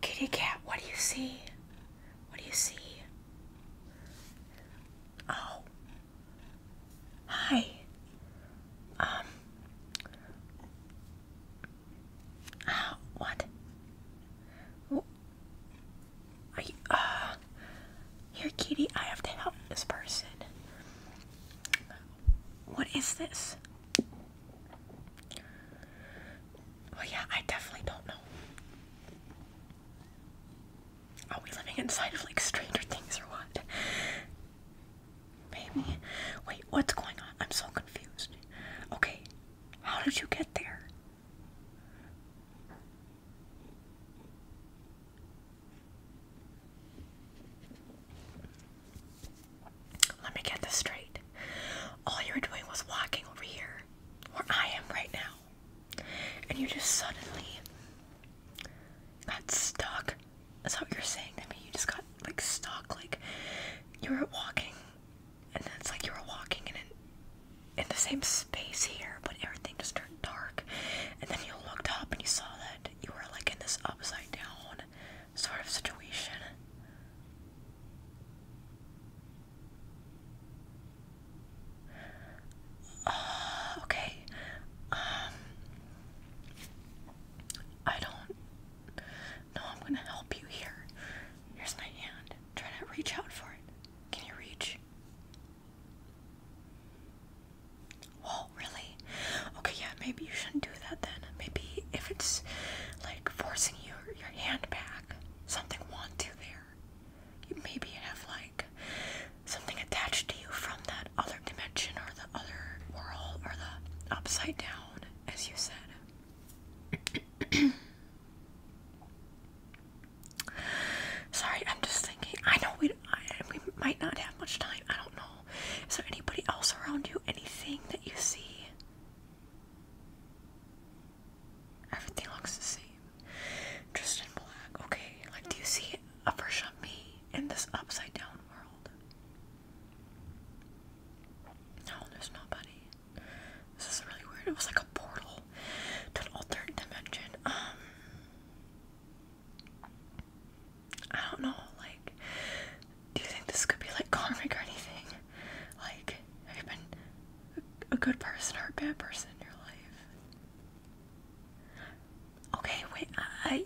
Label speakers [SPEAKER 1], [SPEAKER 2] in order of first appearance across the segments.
[SPEAKER 1] Kitty cat, what do you see? What do you see? Oh. Hi. Um. Uh, what? Are you, uh, here, kitty, I have to help this person. What is this? Well, yeah, I definitely don't know. Are we living inside of like Stranger Things or what? Maybe. Wait, what's going on? I'm so confused. Okay, how did you get there? Let me get this straight. All you were doing was walking over here, where I am right now, and you just suddenly got stuck. That's what you're saying to me. You just got like stuck, like you were walking, and then it's like you were walking in in the same space here, but everything just turned dark. And then you looked up and you saw that you were like in this upside down sort of situation. okay. Um I don't know I'm gonna help you here. Here's my hand. Try to reach out for it. Can you reach? Whoa, really? Okay, yeah, maybe you shouldn't do that then. Maybe if it's forcing your your hand back. Something want to there. You maybe have like something attached to you from that other dimension or the other world or the upside down, as you said. Sorry, I'm just thinking. I know we I, we might not have much time. I don't know. Is there anybody else around you? Anything that you see? Everything looks the same. Just in black. Okay, like do you see a version of me in this upside down world? No, there's nobody. This is really weird. It was like a portal to an alternate dimension. Um I don't know, like do you think this could be like karmic or anything? Like, have you been a good person or a bad person in your life? Okay, wait, I, I, I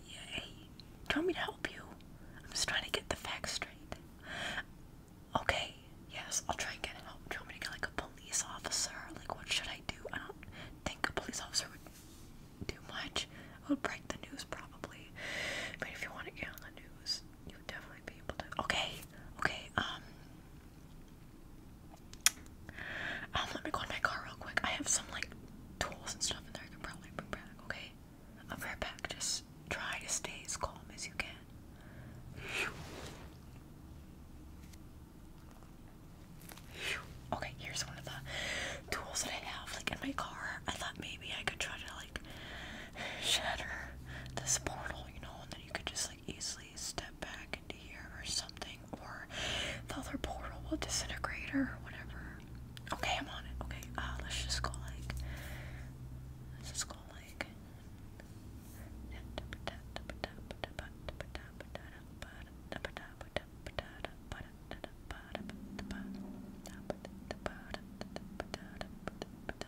[SPEAKER 1] do you want me to help you? I'm just trying to get the facts straight. Okay, yes, I'll try and get help. Do you want me to get like a police officer? Like, what should I do? I don't think a police officer would do much. It would break the news probably. But if you want to get on the news, you Okay, okay. Um. um, let me go in my car real quick. I have some like tools and stuff in there. I can probably bring back. Okay, I'll be right back. Just try to stay as calm as you can. Okay, here's one of the tools that I have like in my car. I thought maybe I could try to like shatter this portal, you know, and then you could just like easily step back into here or something, or the other portal will disintegrate or whatever. Okay, I'm on it. Okay, uh, let's just go like, let's just go like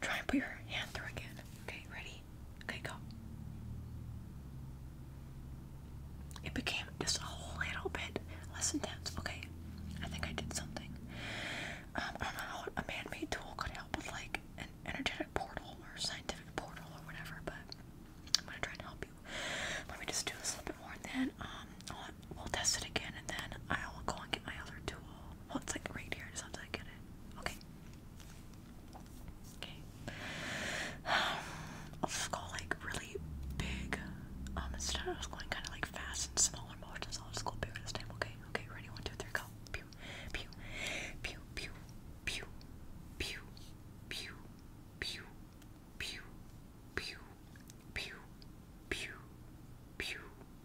[SPEAKER 1] Try and put your hand through again. Okay, ready? Okay, go. It became just a whole little bit less intense. Okay, I think I did something. Um, I don't know how a man-made tool could help with like an energetic portal or scientific portal or whatever, but I'm gonna try and help you. Let me just do this a little bit more, and then um, we'll test it again, and then I'll go and get my other tool. Well, it's like right here. just have to get it. Okay. Okay. I'll just go like really big. Um, instead of just going kind of like fast and smaller motions, I'll just go bigger this time. Okay. Okay. Ready? One, two, three, go. pew, pew, pew, pew, pew, pew, pew, pew, pew, pew, pew, pew, pew,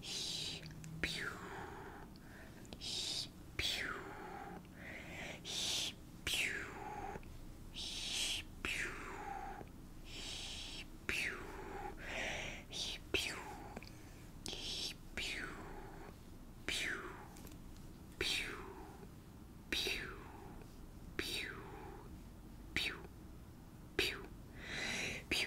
[SPEAKER 1] He, pew. He, pew. He, pew. He, pew. He, pew. He, pew. He, pew. Pew. Pew. Pew. Pew. Pew. Pew. Pew.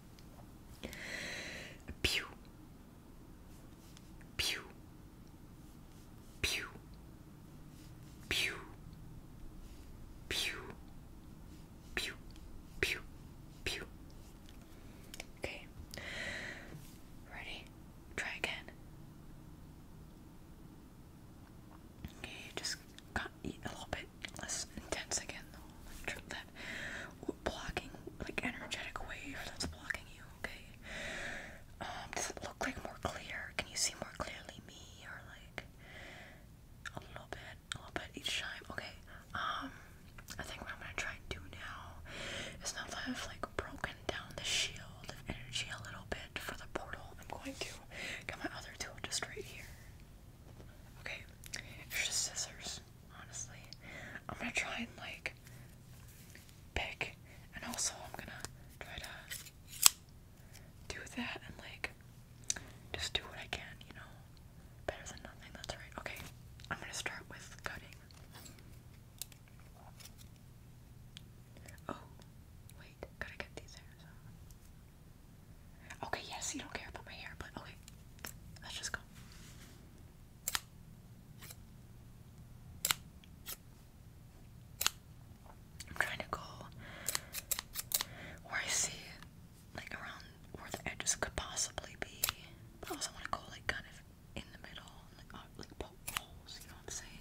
[SPEAKER 1] Pew. Pew. Pew. Pew. Pew. Pew. Pew. Pew. Okay. Ready? Try again. Okay, just cut eat a little bit bit less intense again, though. Like that blocking, like energetic wave that's blocking you. Okay. Um, does it look like more clear? Can you see more clearly me, or like a little bit, a little bit each time? Okay. Um, I think what I'm gonna try and do now is now that I've like broken down the shield of energy a little bit for the portal, I'm going to get my other tool just right here. Okay, it's scissors, honestly. I'm gonna try and like pick, and also I'm gonna try to do that and like just do what I can, you know? Better than nothing, that's right. Okay, I'm gonna start with cutting. Oh, wait, gotta get these hairs out. Okay, yes, you don't care about my hair, but okay. Let's just go. I'm trying to go where I see like around where the edges could possibly be. But I also want to go like kind of in the middle, like uh, like poke you know what I'm saying?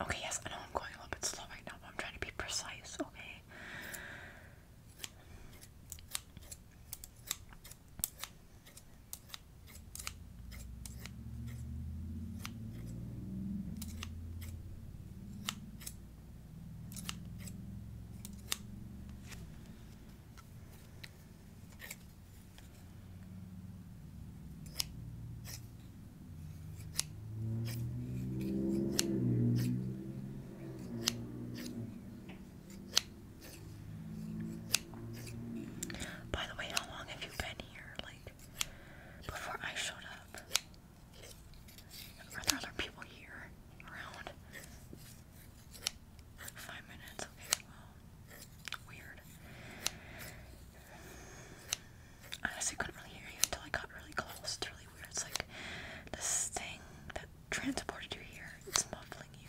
[SPEAKER 1] Okay, yes, I know I'm going a little bit slow right now, but I'm trying to be precise, okay? By the way, how long have you been here? Like, before I showed up? Are there other people here around? Five minutes, okay, weird. I honestly couldn't really hear you until I got really close. It's really weird. It's like this thing that transported you here, it's muffling you.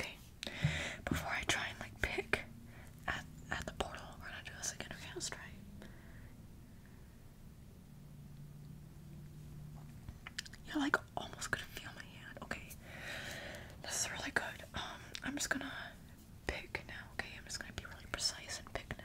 [SPEAKER 1] Okay. Before I try and like pick at at the portal, we're gonna do this again. Okay, let's try. Yeah, like almost could feel my hand. Okay. This is really good. Um, I'm just gonna pick now, okay? I'm just gonna be really precise and pick now.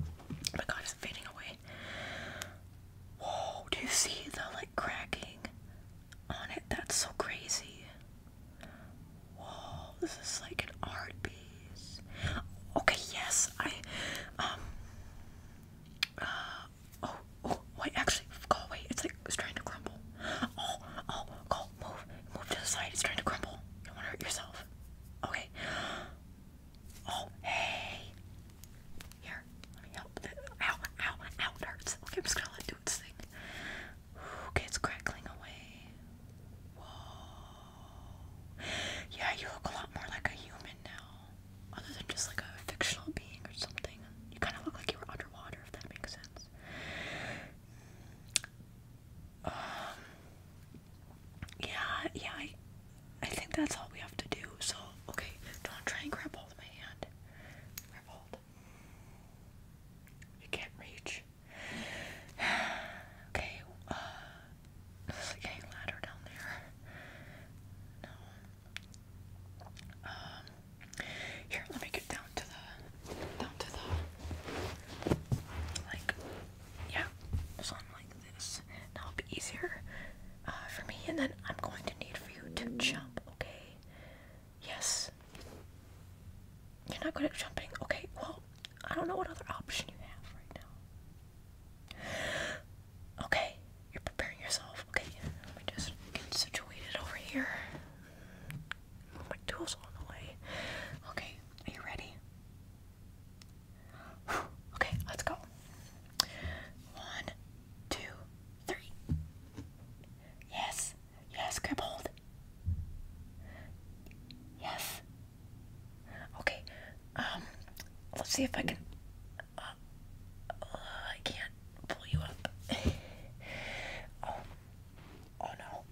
[SPEAKER 1] Oh my god, it's fading away. Whoa, do you see the like cracking on it? That's so crazy. Whoa, this is like an art piece. Okay, yes, I um uh oh oh wait actually go away. It's like it's trying to crumble. Oh oh go move move to the side, it's trying to crumble. You don't want to hurt yourself. Okay. Oh, hey. Here, let me help. Ow, ow, ow, hurts. Okay, I'm just gonna let do its thing. it's crackling away. Whoa. Yeah, you look a lot more like a human now. Other than just like a fictional being or something. You kind of look like you were underwater, if that makes sense. Um, yeah, yeah, I, I think that's all we have to do. So, okay, don't try and grab hold of my hand. Grab hold. You can't reach. okay, uh, ladder down there. No. Um, here, let me get down to the, down to the, like, yeah, so like this. Now will be easier uh, for me. And then I'm going to need for you to jump, okay? Yes. You're not good at jumping. Okay, well, I don't know what other option you have right now. Okay, you're preparing yourself. Okay, let me just get situated over here. My tools on the way. Okay, are you ready? Okay, let's go. One, two, three. Yes, yes, grip hold. Yes. Okay, um, let's see if I can. Uh, I can't pull you up. oh, oh no.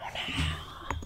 [SPEAKER 1] Oh no.